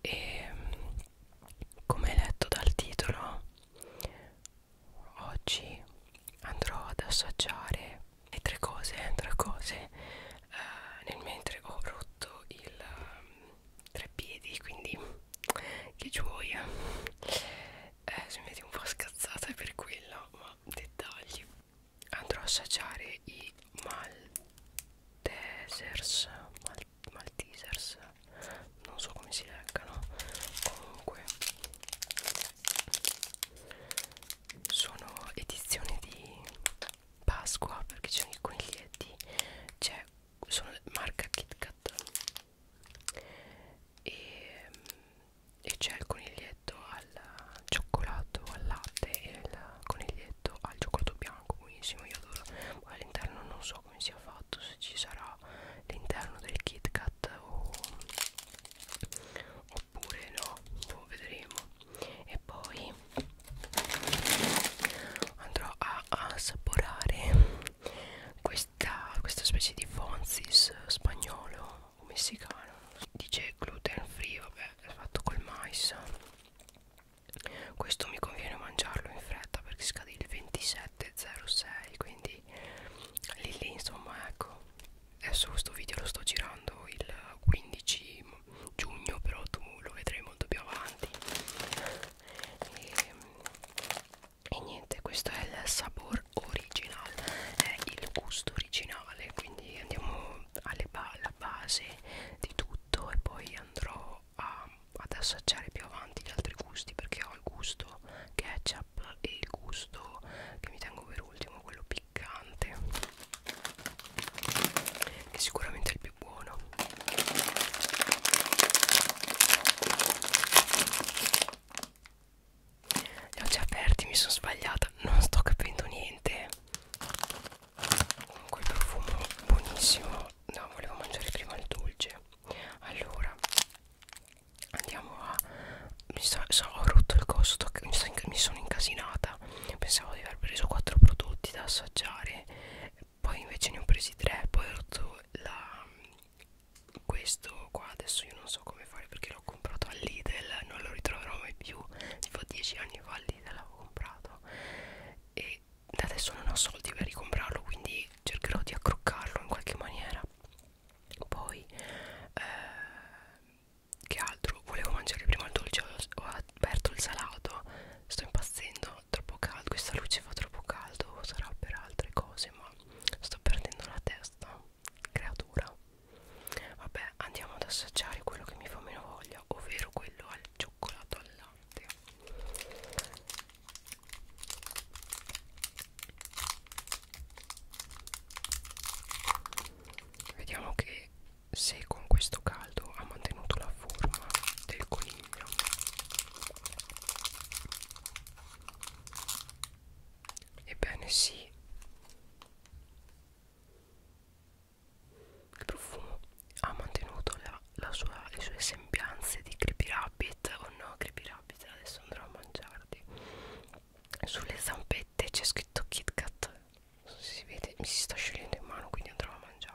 e come letto dal titolo oggi andrò ad assaggiare le tre cose, tre cose eh, nel mentre ho rotto il ehm, tre piedi quindi che gioia eh, se mi vedi un po' scazzata è per quello ma dettagli andrò a assaggiare i mal Desers, mal Maltesers non so come si leggano comunque sono edizioni di Pasqua perché ci sono i coniglietti c'è sono marca Kit Kat e, e c'è il coniglietto al cioccolato al latte e il coniglietto al cioccolato bianco buonissimo io adoro all'interno non so so come sia fatto se ci sarà l'interno del Kit Kat o, oppure no lo boh, vedremo e poi andrò a, a assaporare questa, questa specie di fonzis spagnolo o messicano dice gluten free vabbè è fatto col mais questo mi conviene mangiarlo in fretta perché scade il 27.06 quindi lì lì insomma ecco adesso questo video lo sto girando il 15 giugno però tu lo vedrai molto più avanti e, e niente questo è il sapore originale è il gusto originale quindi andiamo alla ba base di tutto e poi andrò a, ad assaggiare più avanti gli altri gusti perché ho il gusto ketchup e il gusto che mi tengo per ultimo quello piccante che sicuramente è il più buono li ho già aperti mi sono sbagliata non sto capendo niente comunque il profumo buonissimo no volevo mangiare prima il dolce allora andiamo a mi sto, so, ho rotto il costo mi, sto, mi sono incasinata pensavo di aver preso 4 prodotti da assaggiare poi invece ne ho presi 3 poi ho rotto la questo qua adesso io non so come fare perché l'ho comprato a Lidl non lo ritroverò mai più tipo 10 anni fa a Lidl l'avevo comprato e e adesso non ho soldi per ricomprarlo quindi cercherò di accroccarlo in qualche maniera poi eh, che altro volevo mangiare prima il dolce ho, ho aperto il salato sto impazzendo troppo caldo questa luce fa troppo caldo sarà per altre cose ma sto perdendo la testa creatura vabbè andiamo ad assaggiare quello che mi fa meno voglia ovvero quello al cioccolato al latte vediamo che se con questo caldo ha mantenuto la forma del coniglio ebbene sì il profumo ha mantenuto la, la sua, le sue sembianze di Creepy Rabbit o oh no Creepy Rabbit, adesso andrò a mangiarti. Sulle zampette c'è scritto Kit Kat, so si vede, mi si sta sciogliendo in mano quindi andrò a mangiarlo.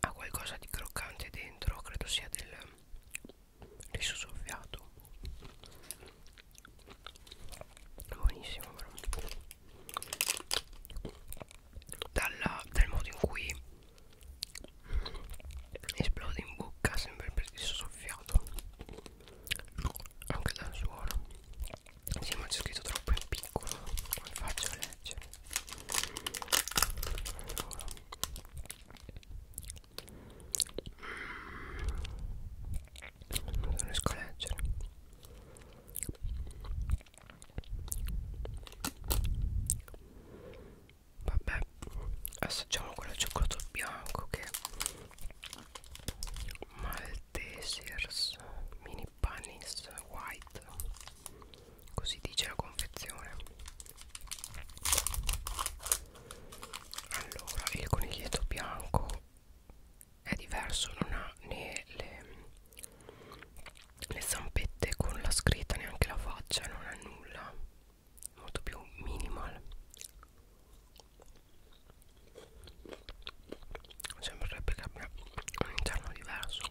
ha qualcosa di croccante dentro credo sia del riso soffiato buonissimo però Dalla, dal modo in cui esplode in bocca sembra il riso soffiato anche dal suono sì ma c'è scritto troppo in piccolo come faccio a leggere allora. non riesco a leggere vabbè assaggiamo quello cioccolato bianco che Maltesers mini panis white così dice la confezione allora il coniglietto bianco è diverso non ha né le, le zampette con la scritta neanche la faccia non ha nulla molto più minimal sembrerebbe che abbia un interno diverso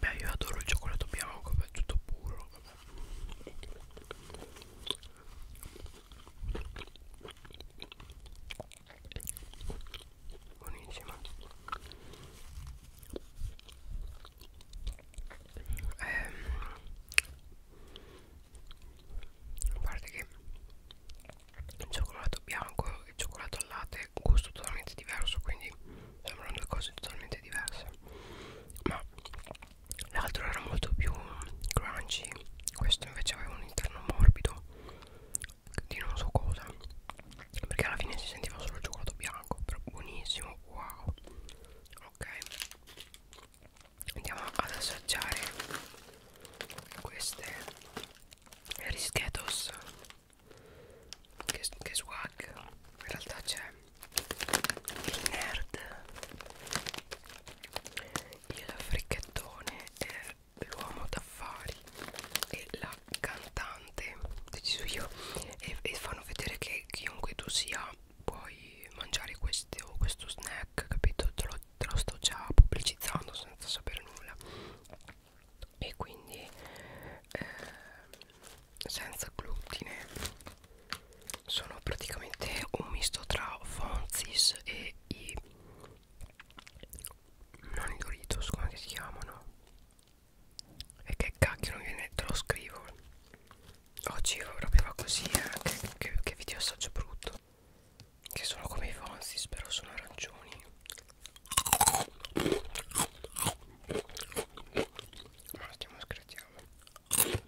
Beh, io adoro il cioccolato bianco, è tutto puro. Vabbè. Buonissimo. Ehm, a parte che il cioccolato bianco e cioccolato al latte gusto totalmente diverso quindi sembrano due cose totalmente diverse ma l'altro era molto più crunchy questo invece aveva un interno morbido di non so cosa perché alla fine si sentiva solo il cioccolato bianco però buonissimo wow ok andiamo ad assaggiare queste rischetos che, che swag in realtà c'è il nerd il fricchettone l'uomo d'affari e la cantante deciso io e, e fanno vedere che chiunque tu sia puoi mangiare questo, questo snack capito te lo, te lo sto già pubblicizzando senza sapere nulla e quindi eh, senza glutine sono praticamente un misto tra Fonzis e i non i Doritos come si chiamano e che cacchio non viene te lo scrivo oggi proprio va così eh? che, che, che video assaggio brutto che sono come i Fonzis però sono arancioni ma stiamo scherzando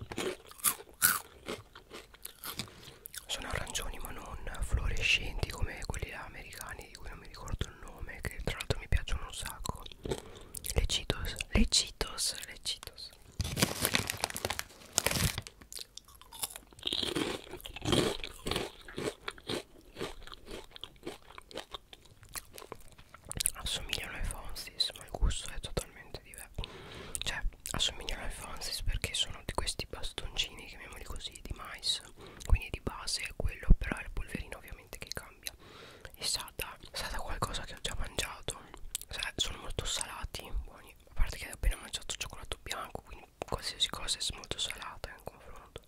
Sono arancioni ma non fluorescenti come quelli là americani di cui non mi ricordo il nome Che tra l'altro mi piacciono un sacco Le Cheetos Le Cheetos Le Cheetos assomigliano ai Fonsis ma il gusto è totalmente diverso cioè assomigliano ai Fonsis perché sono di questi bastoncini chiamiamoli così di mais quindi di base è quello però è il polverino ovviamente che cambia è stata, è stata qualcosa che ho già mangiato cioè, sono molto salati buoni a parte che ho appena mangiato cioccolato bianco quindi qualsiasi cosa è molto salata in confronto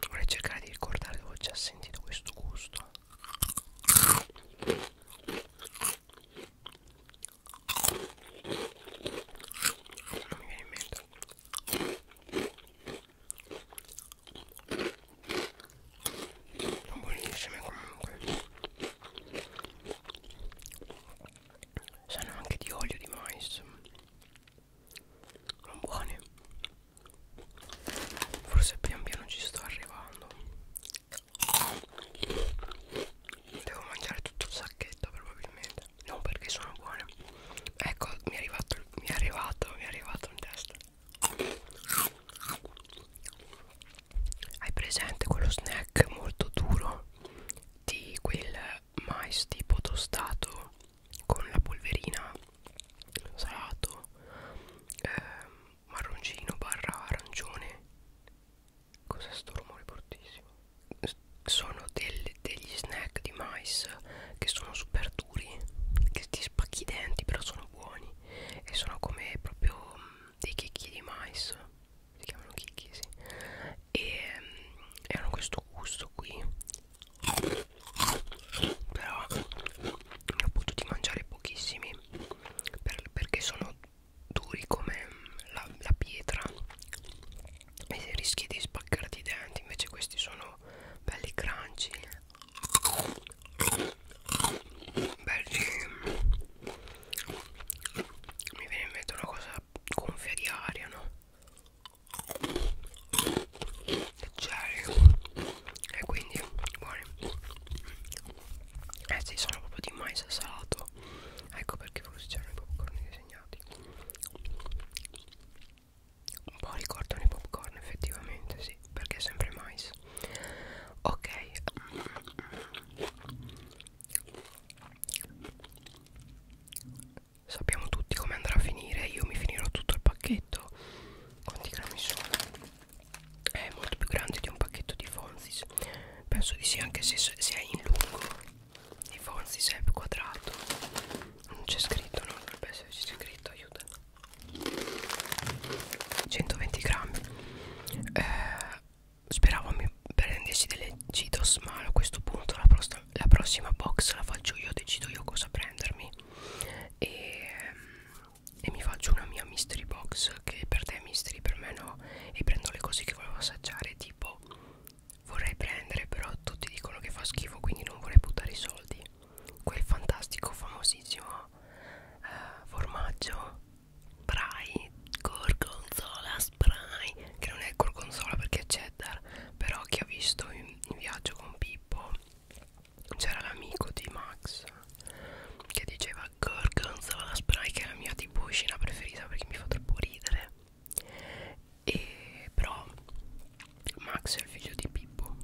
Vorrei cercare di ricordare dove ho già sentito questo gusto. Non mi viene in mente sono buonissime comunque sanno anche di olio di mais non buone forse pian piano ci sto arrivando devo mangiare tutto il sacchetto probabilmente non perché sono buone ecco mi è arrivato mi è arrivato mi è arrivato un test hai presente quello snack molto duro di quel mais tipo tostato con la polverina salato eh, marroncino barra arancione? Cos'è sto rumore fortissimo? Sono del, degli snack di mais che sono super duri duri che ti spacchi i denti però sono buoni e sono come proprio mh, mm, dei chicchi di mais si chiamano chicchi sì e mh, mm, hanno questo gusto qui però ne ho potuto mangiare pochissimi per, perché sono duri come mm, la, la pietra e rischi di spaccarti i denti invece questi sono belli crunchy Beh, mi viene in mente una cosa gonfia di aria, no? Leggeri e quindi buoni. Eh sì, sono proprio di mais salato. Ecco perché forse c'erano i popcorn disegnati un po' ricordano i popcorn effettivamente sì perché è sempre mais ok sappiamo tutti come andrà a finire io mi finirò tutto il pacchetto quanti grammi sono è molto più grande di un pacchetto di Fonzis penso di sì anche se, se è in lungo di Fonzis è più quadrato non c'è scritto non dovrebbe esserci scritto aiuta 120 grammi eh, speravo mi prendessi delle citos ma a questo punto la, la prossima box la faccio io decido io cosa prendermi e, e mi faccio una mia mystery box che per te è mystery per me no e prendo le cose che volevo assaggiare tipo Vorrei prendere però tutti dicono che fa schifo quindi non vorrei buttare i soldi Quel fantastico famosissimo eh, formaggio Spray Gorgonzola Spray Che non è gorgonzola perché è cheddar Però che ho visto in, in viaggio con Pippo C'era l'amico di Max Che diceva Gorgonzola Spray che è la mia tipo scena preferita perché mi fa troppo ridere e però Max è il figlio di Pippo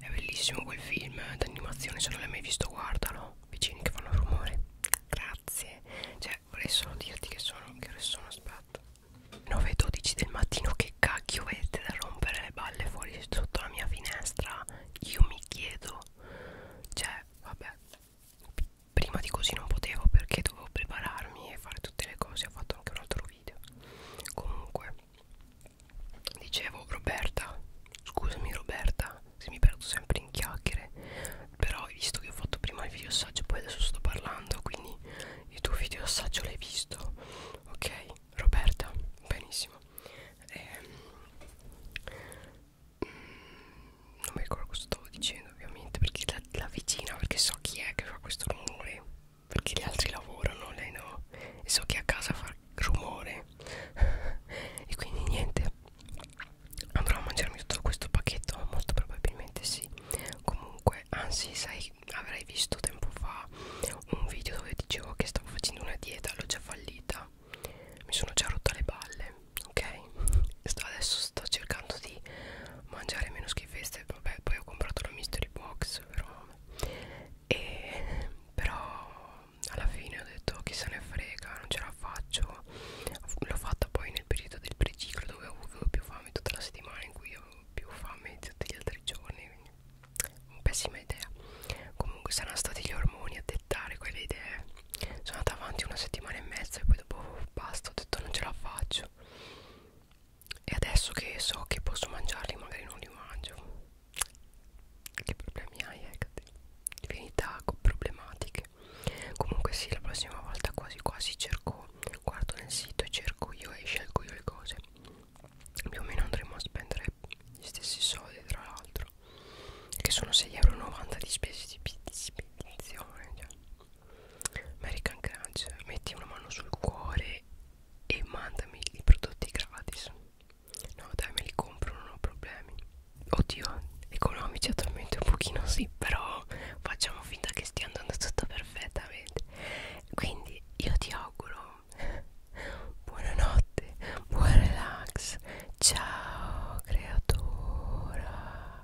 è bellissimo quel film d'animazione se non l'hai mai visto guardalo vicini che fanno rumore grazie cioè vorrei solo dirti che sono che ore sono aspetta 9.12 del mattino che cacchio vedete da rompere le balle fuori sotto la mia finestra io mi chiedo cioè vabbè prima di così non potevo perché dovevo prepararmi e fare tutte le cose ho fatto fatto anche un altro video comunque dicevo Roberta scusami Roberta se mi perdo sempre in chiacchiere però hai visto che ho fatto prima il video assaggio poi adesso sto parlando quindi il tuo video assaggio l'hai visto ok Roberta benissimo ehm, mm, non mi ricordo cosa stavo dicendo indubbiamente perché la, la vicina perché so chi è che fa questo rumore perché gli altri lavorano lei no e so che a casa fa rumore e quindi niente andrò a mangiarmi tutto questo pacchetto molto probabilmente sì comunque anzi sai avrai visto tempo fa un video dove dicevo che stavo facendo una dieta l'ho già fallita mi sono già rotta le balle ok adesso sto cercando di mangiare meno schifezze queste vabbè poi ho comprato la mystery box però e però alla fine ho detto chi se ne frega non ce la faccio l'ho fatta poi nel periodo del preciclo dove avevo più fame tutta la settimana in cui avevo più fame di tutti gli altri giorni quindi pessima idea comunque saranno stati gli ormoni a dettare quelle idee sono andata avanti una settimana e mezza e poi dopo basta ho detto non ce la faccio e adesso che so che posso mangiarli magari non li mangio che problemi hai Hecate? divinità problematiche comunque sì la prossima volta quasi quasi cerco guardo nel sito e cerco io e scelgo io le cose più o meno andremo a spendere gli stessi soldi tra l'altro che sono 6,90 euro di spese di spedizione cioè. American Crunch metti una mano sul cuore e mandami i prodotti gratis no dai me li compro non ho problemi oddio economici attualmente un pochino sì però facciamo finta che stia andando tutto perfettamente quindi io ti auguro buonanotte buon relax ciao creatura